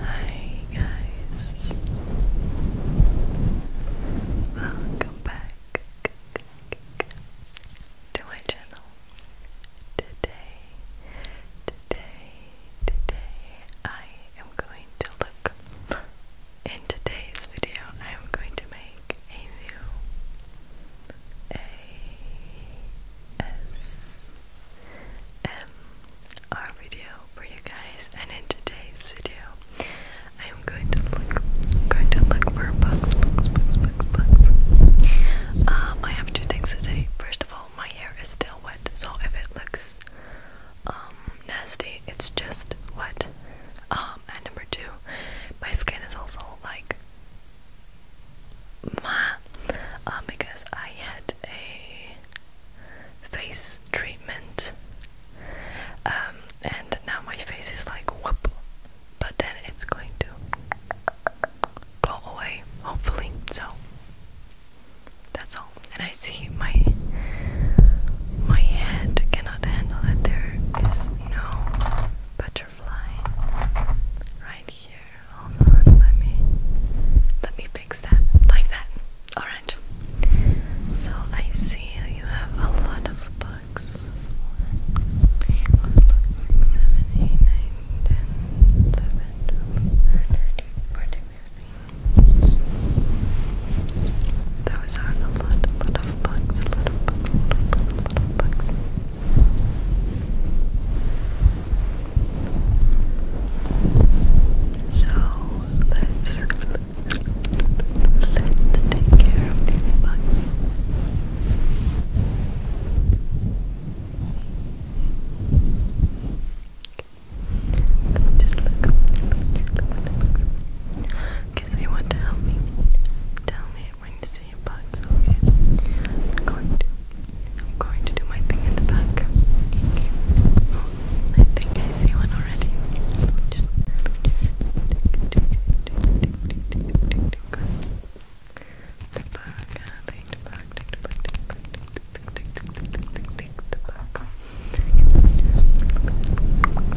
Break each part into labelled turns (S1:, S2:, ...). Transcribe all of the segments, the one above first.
S1: Hi guys, welcome back to my channel. Today, today, today, I am going to look. In today's video, I am going to make a
S2: new ASMR um, our video for you guys. And in today's video, I'm going to look, going to look for bugs, bugs, bugs, bugs, bugs. Um, I have two things today. First of all, my hair is still wet, so if it looks um, nasty, it's just what. Um, and number two, my skin is also like. Um, because I had a face treatment, um, and now my face is like whoop, but then it's going to go away, hopefully. So that's all. And I see my my head cannot handle it. There is no butterfly right here. Hold on, let me let me fix that like that. All right. So I see you have a lot of books. One, two, three, seven, eight, nine, ten, eleven, twelve, thirteen, fourteen, fifteen. Those are a lot, lot of books, so let's let's take care of these bugs. Just look, look, look, Okay, so you want to help me? Tell me when you see your bugs, okay? I'm going to I'm going to do my thing in the back. Okay. Oh, I think I see one already. Just the back, I think the back, take the back, take the back, take the back, take, take, take, take the back. Let me just let the back.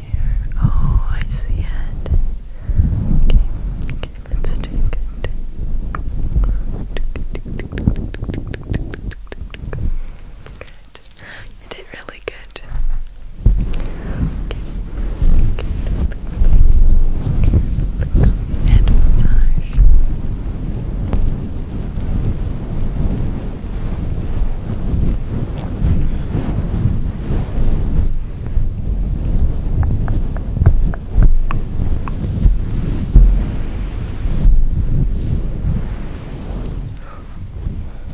S2: here. Oh, I see it. Okay, okay, let's drink it. Good. did really good. Okay. massage.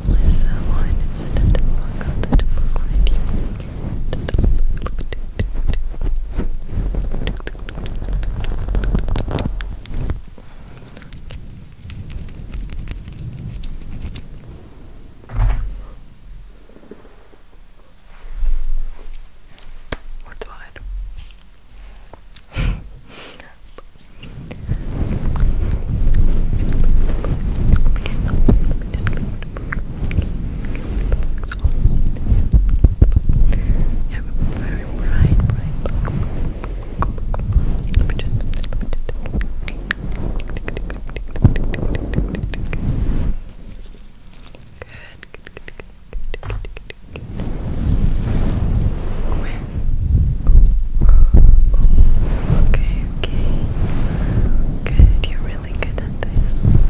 S2: Where's that line? It's the double line, the double line. Okay. Wordt waar. You have a very bright, bright, let me just, let me just. Good, good, good, good. Good, good, good, good. Okay, okay. Good, you're really good at this. Good,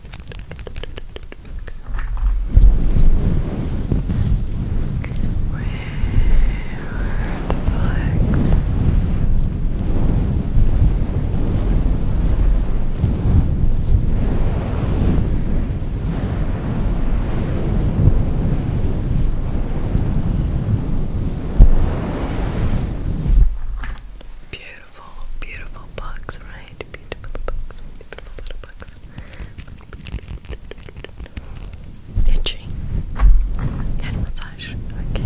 S2: Beautiful, beautiful bugs, right? Beautiful bugs, beautiful little bugs. Itchy. Head massage. Okay.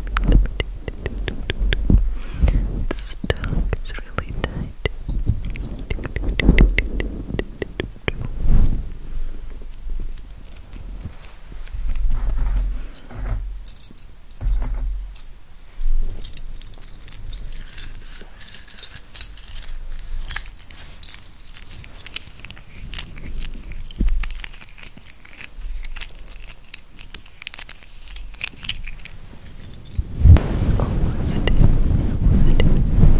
S3: It's tongue is really tight. Almost in, almost in. Just, just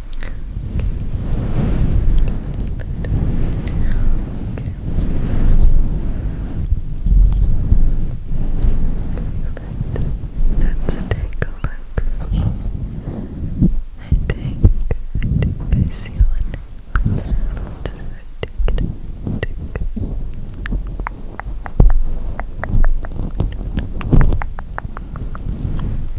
S3: Let's take a look. I think I think I see one. Let's tick, tick, tick. Okay.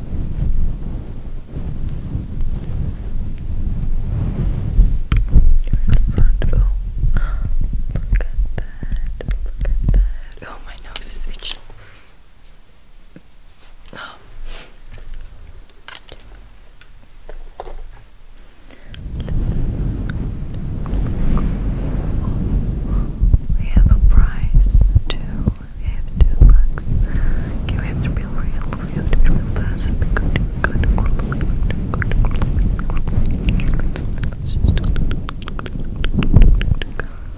S3: front. Oh, look at that. Look at that. Oh, my nose is itching. Oh. We have a prize too we have to relax. Okay, we have to be real, we have to real fast and be good,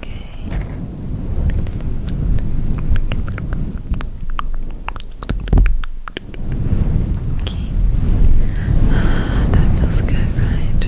S3: Okay. Okay. Ah, that feels good, right?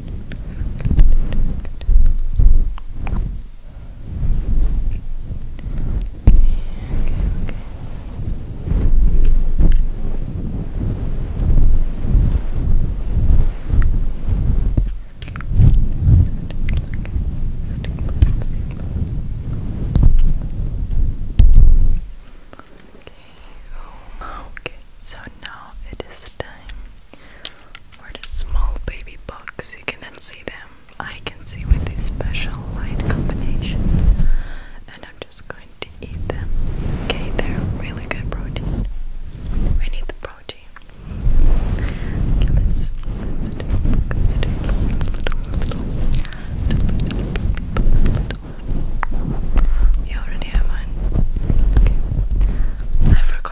S3: Oh, okay, so now it is time where the small baby bugs, you cannot see them. I can see with this special light combination. And I'm just going to eat them. Okay, they're really good protein. We need the protein.
S1: You already have mine. Okay.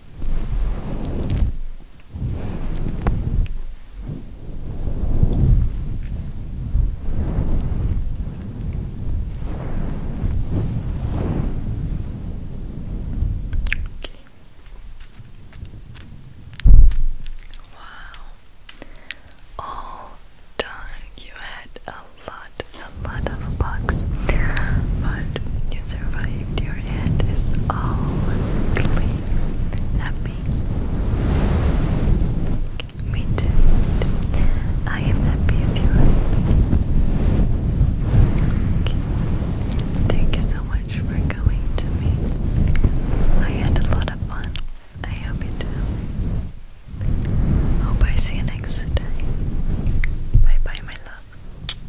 S1: Wow. All done. You had a lot, a lot of bugs, but you survived. You your head all clear happy. Me I am happy if you Thank you so much for coming to me. I had a lot of fun. I hope you do. Hope I see you next time.
S3: Bye bye, my love.